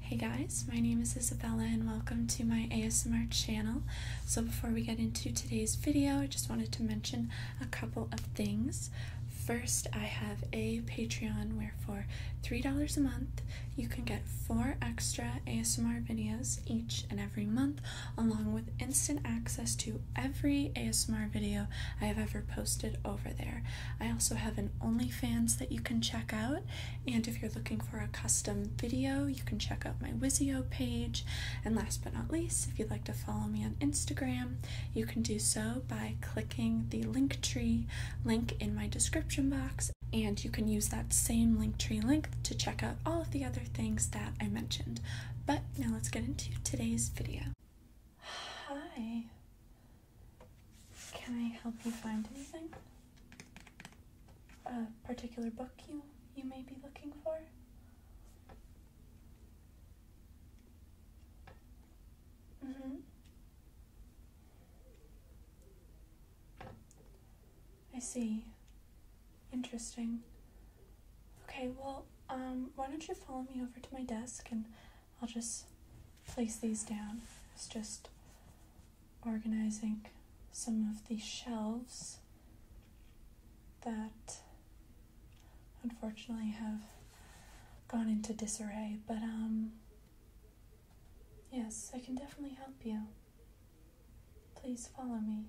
Hey guys, my name is Isabella and welcome to my ASMR channel. So before we get into today's video, I just wanted to mention a couple of things. First, I have a Patreon where for $3 a month, you can get four extra ASMR videos each and every month, along with instant access to every ASMR video I have ever posted over there. I also have an OnlyFans that you can check out and if you're looking for a custom video, you can check out my Wizio page. And last but not least, if you'd like to follow me on Instagram, you can do so by clicking the Linktree link in my description box. And you can use that same Linktree link to check out all of the other things that I mentioned. But now let's get into today's video. Hi. Can I help you find anything? A particular book you you may be looking for? Mm-hmm. I see. Interesting. Okay, well, um, why don't you follow me over to my desk and I'll just place these down. It's just organizing some of the shelves that unfortunately have gone into disarray, but um, yes, I can definitely help you. Please follow me.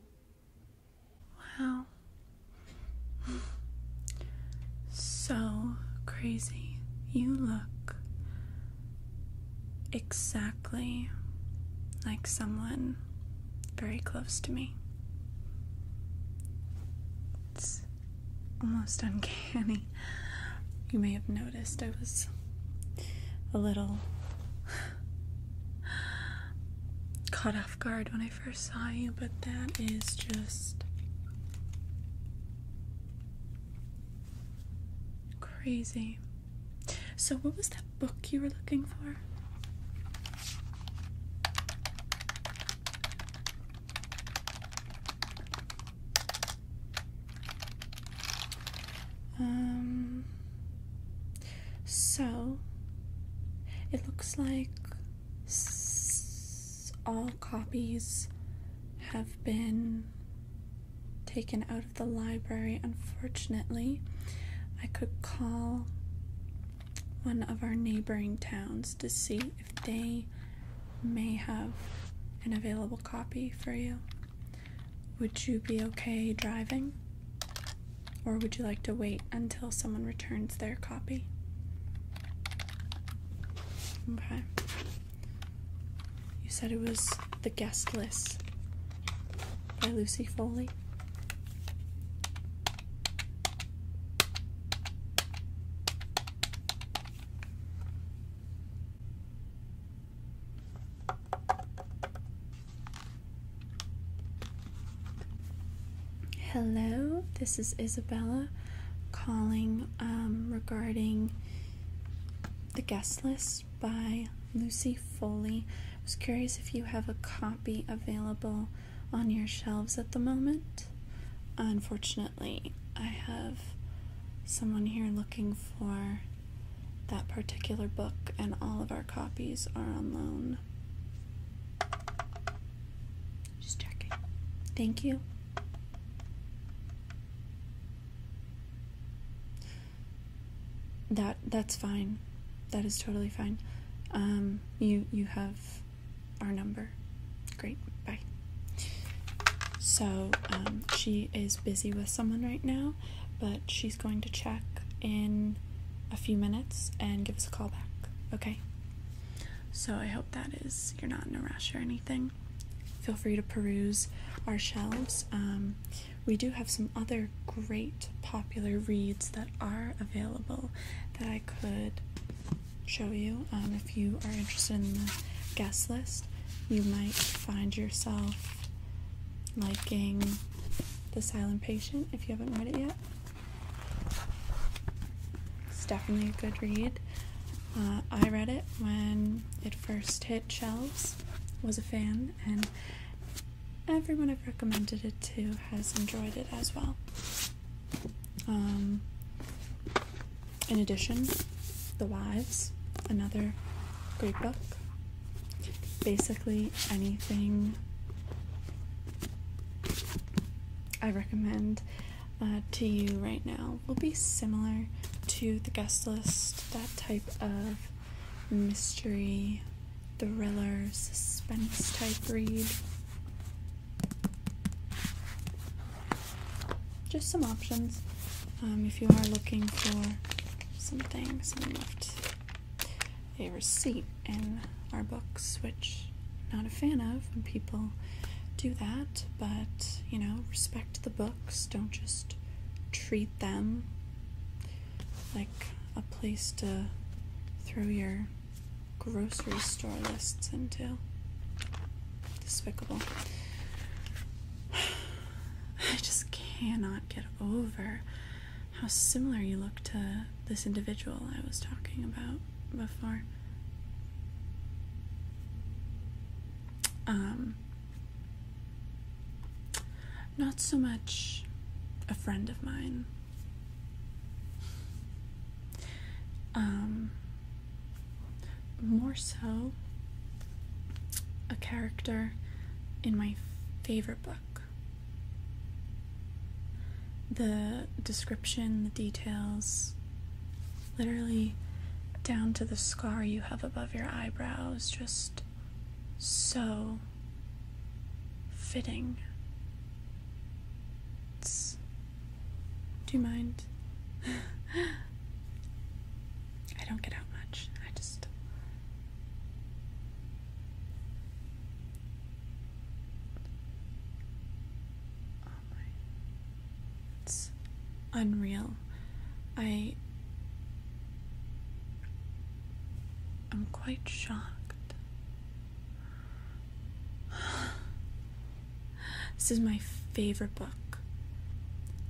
Wow. so crazy. You look exactly like someone very close to me. It's almost uncanny. You may have noticed I was a little caught off guard when I first saw you, but that is just Crazy. So, what was that book you were looking for? Um, so it looks like all copies have been taken out of the library, unfortunately, I could call one of our neighboring towns to see if they may have an available copy for you. Would you be okay driving? Or would you like to wait until someone returns their copy? Okay. You said it was The Guest List by Lucy Foley. Hello, this is Isabella calling um, regarding the Guest List by Lucy Foley. I was curious if you have a copy available on your shelves at the moment. Unfortunately, I have someone here looking for that particular book, and all of our copies are on loan. Just checking. Thank you that that's fine. That is totally fine. Um, you you have our number. Great. Bye. So um, she is busy with someone right now, but she's going to check in a few minutes and give us a call back. Okay. So I hope that is you're not in a rush or anything feel free to peruse our shelves. Um, we do have some other great popular reads that are available that I could show you. Um, if you are interested in the guest list, you might find yourself liking The Silent Patient if you haven't read it yet. It's definitely a good read. Uh, I read it when it first hit shelves was a fan, and everyone I've recommended it to has enjoyed it as well. Um, in addition, The Wives, another great book. Basically, anything I recommend uh, to you right now will be similar to the guest list that type of mystery, thriller, suspense type read. Just some options um, if you are looking for something. left a receipt in our books, which not a fan of when people do that, but you know, respect the book don't just treat them like a place to throw your grocery store lists into. Despicable. I just cannot get over how similar you look to this individual I was talking about before. Um, not so much a friend of mine. Um, more so a character in my favorite book. The description, the details, literally down to the scar you have above your eyebrows, just so fitting. do you mind? I don't get out much. I just. Oh it's unreal. I. am quite shocked. this is my favorite book.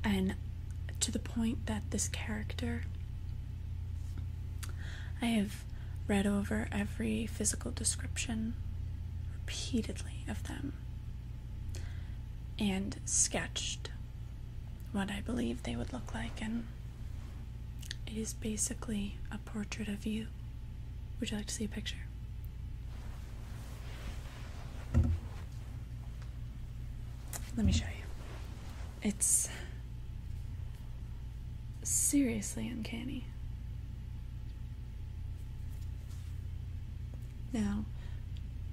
And to the point that this character. I have read over every physical description repeatedly of them and sketched what I believe they would look like, and it is basically a portrait of you. Would you like to see a picture? Let me show you. It's seriously uncanny. Now,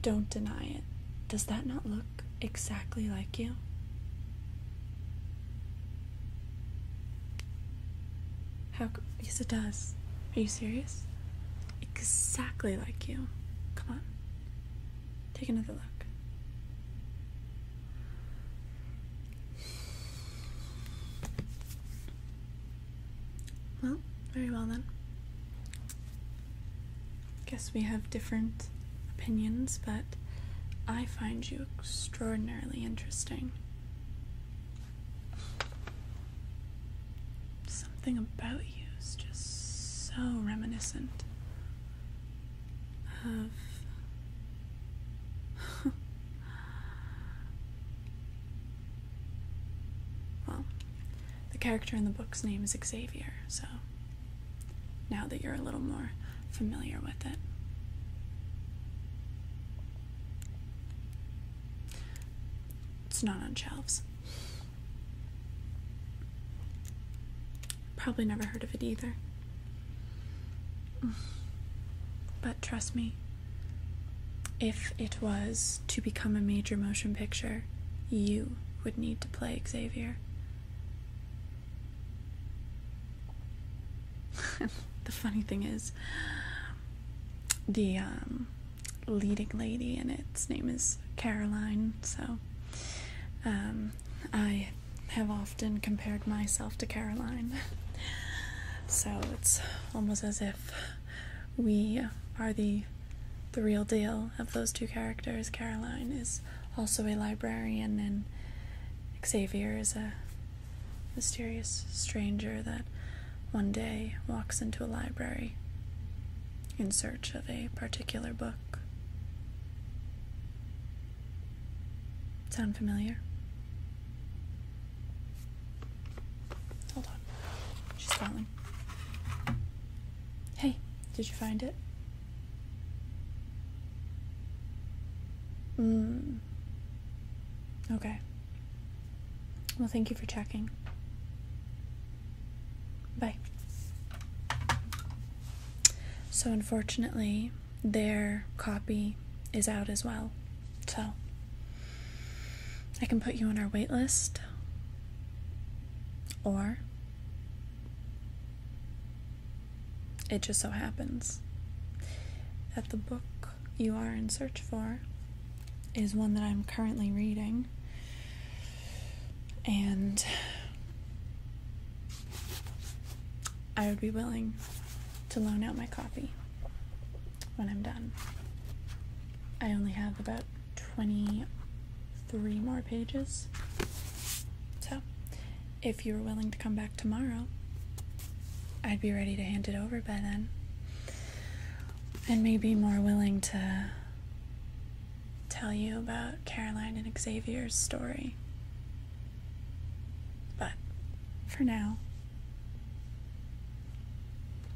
don't deny it. Does that not look exactly like you? How? Yes, it does. Are you serious? Exactly like you. Come on. Take another look. Well, very well then guess we have different opinions, but I find you extraordinarily interesting. Something about you is just so reminiscent of. well, the character in the book's name is Xavier, so now that you're a little more familiar with it. It's not on shelves. Probably never heard of it either. But trust me, if it was to become a major motion picture, you would need to play Xavier. the funny thing is, the um, leading lady in its name is Caroline, so um, I have often compared myself to Caroline. so it's almost as if we are the the real deal of those two characters. Caroline is also a librarian, and Xavier is a mysterious stranger that one day walks into a library in search of a particular book. Sound familiar? Hold on. She's calling. Hey, did you find it? Mm. Okay. Well, thank you for checking. Bye. So, unfortunately, their copy is out as well. So, I can put you on our wait list, or it just so happens that the book you are in search for is one that I'm currently reading. And I would be willing to loan out my copy when I'm done. I only have about 23 more pages. So, if you were willing to come back tomorrow, I'd be ready to hand it over by then. And maybe more willing to tell you about Caroline and Xavier's story. But for now,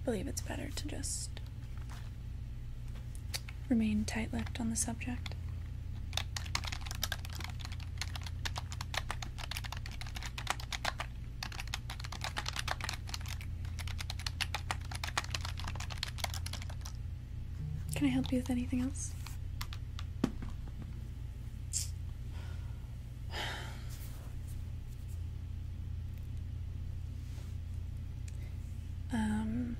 believe it's better to just remain tight lipped on the subject. Can I help you with anything else? Um,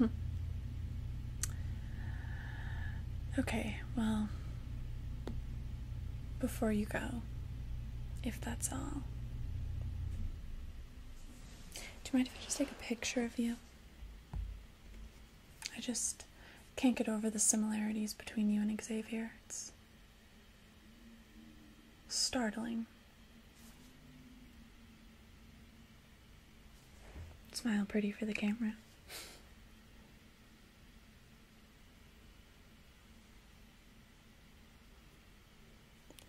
okay, well, before you go, if that's all, do you mind if I just take a picture of you? I just can't get over the similarities between you and Xavier startling. Smile pretty for the camera.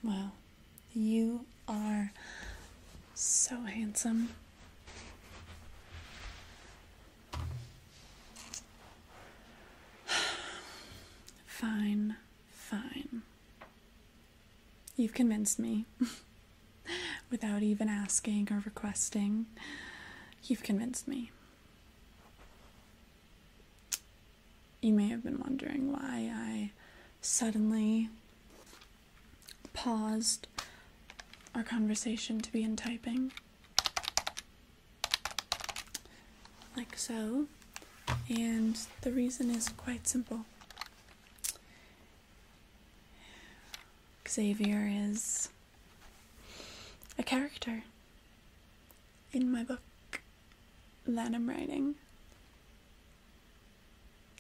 Wow, you are so handsome. Fine. Fine. You've convinced me. Without even asking or requesting, you've convinced me. You may have been wondering why I suddenly paused our conversation to be in typing like so. And the reason is quite simple. Xavier is a character in my book that I'm writing.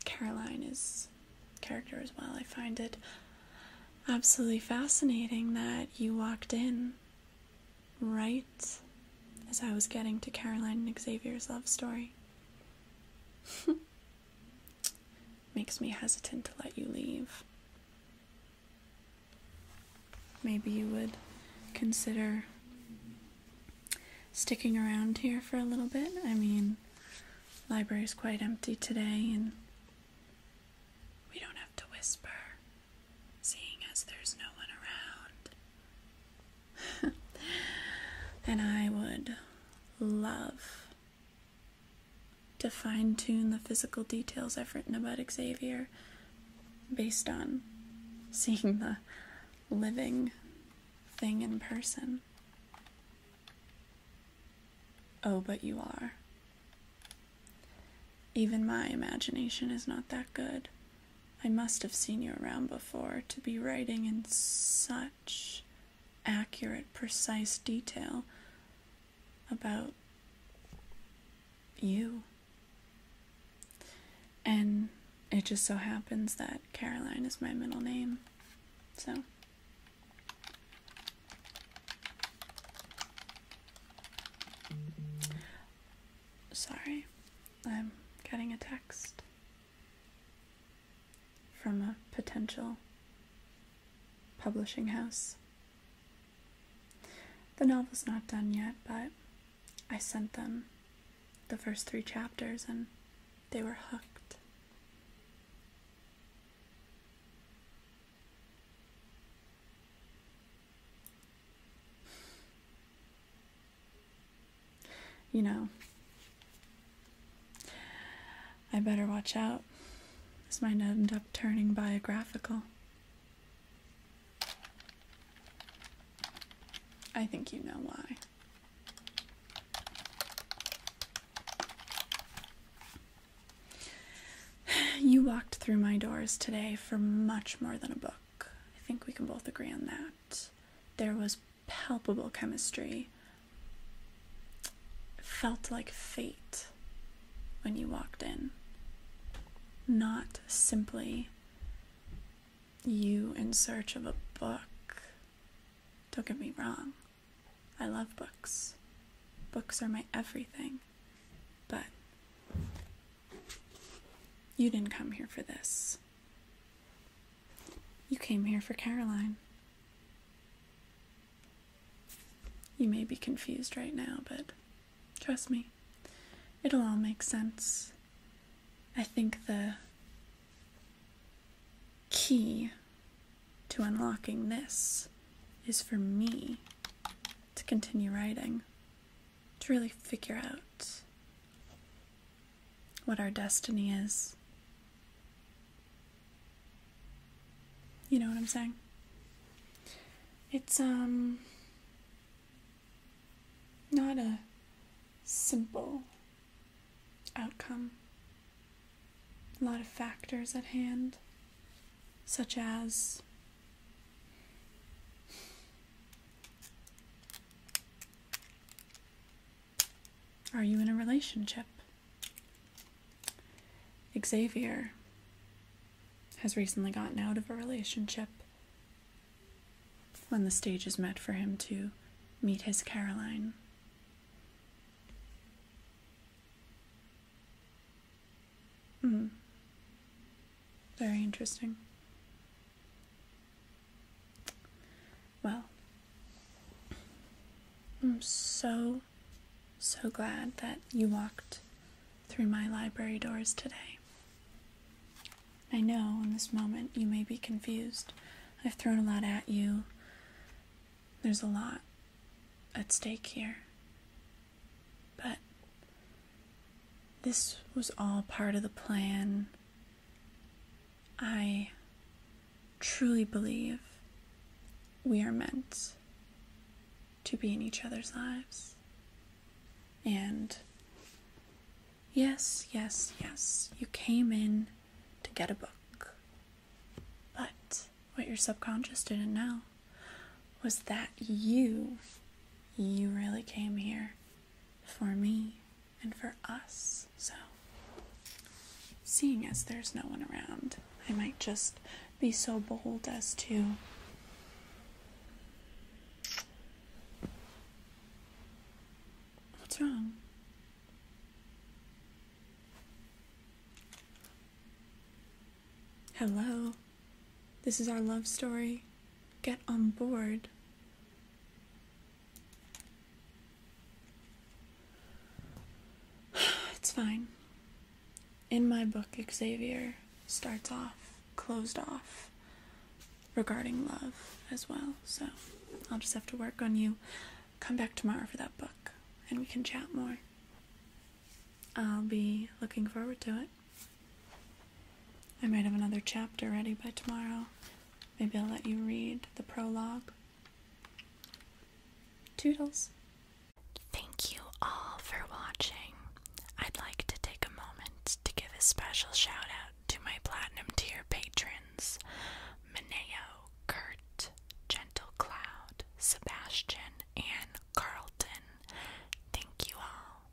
Caroline is character as well. I find it absolutely fascinating that you walked in right as I was getting to Caroline and Xavier's love story. Makes me hesitant to let you leave. Maybe you would consider sticking around here for a little bit. I mean, library's quite empty today and we don't have to whisper seeing as there's no one around. and I would love to fine tune the physical details I've written about Xavier based on seeing the living thing in person. Oh, but you are. Even my imagination is not that good. I must have seen you around before to be writing in such accurate, precise detail about you. And it just so happens that Caroline is my middle name. So. Sorry, I'm getting a text from a potential publishing house. The novel's not done yet, but I sent them the first three chapters and they were hooked. You know, I better watch out. This might end up turning biographical. I think you know why. You walked through my doors today for much more than a book. I think we can both agree on that. There was palpable chemistry. It felt like fate when you walked in. Not simply you in search of a book. Don't get me wrong. I love books. Books are my everything. But you didn't come here for this. You came here for Caroline. You may be confused right now, but trust me, it'll all make sense. I think the key to unlocking this is for me to continue writing to really figure out what our destiny is. You know what I'm saying? It's, um, not a simple outcome. A lot of factors at hand, such as are you in a relationship? Xavier has recently gotten out of a relationship when the stage is met for him to meet his Caroline. Mm. Very interesting. Well, I'm so, so glad that you walked through my library doors today. I know in this moment you may be confused. I've thrown a lot at you. There's a lot at stake here. But this was all part of the plan. I truly believe we are meant to be in each other's lives. And yes, yes, yes, you came in to get a book. But what your subconscious didn't know was that you, you really came here for me and for us. So, seeing as there's no one around, I might just be so bold as to What's wrong? Hello. This is our love story. Get on board. It's fine. In my book, Xavier starts off closed off regarding love as well, so I'll just have to work on you. Come back tomorrow for that book and we can chat more. I'll be looking forward to it. I might have another chapter ready by tomorrow. Maybe I'll let you read the prologue. Toodles. Thank you all for watching. I'd like to take a moment to give a special shout out to my platinum tier patrons Mineo, Kurt, Gentle Cloud, Sebastian, and Carlton. Thank you all.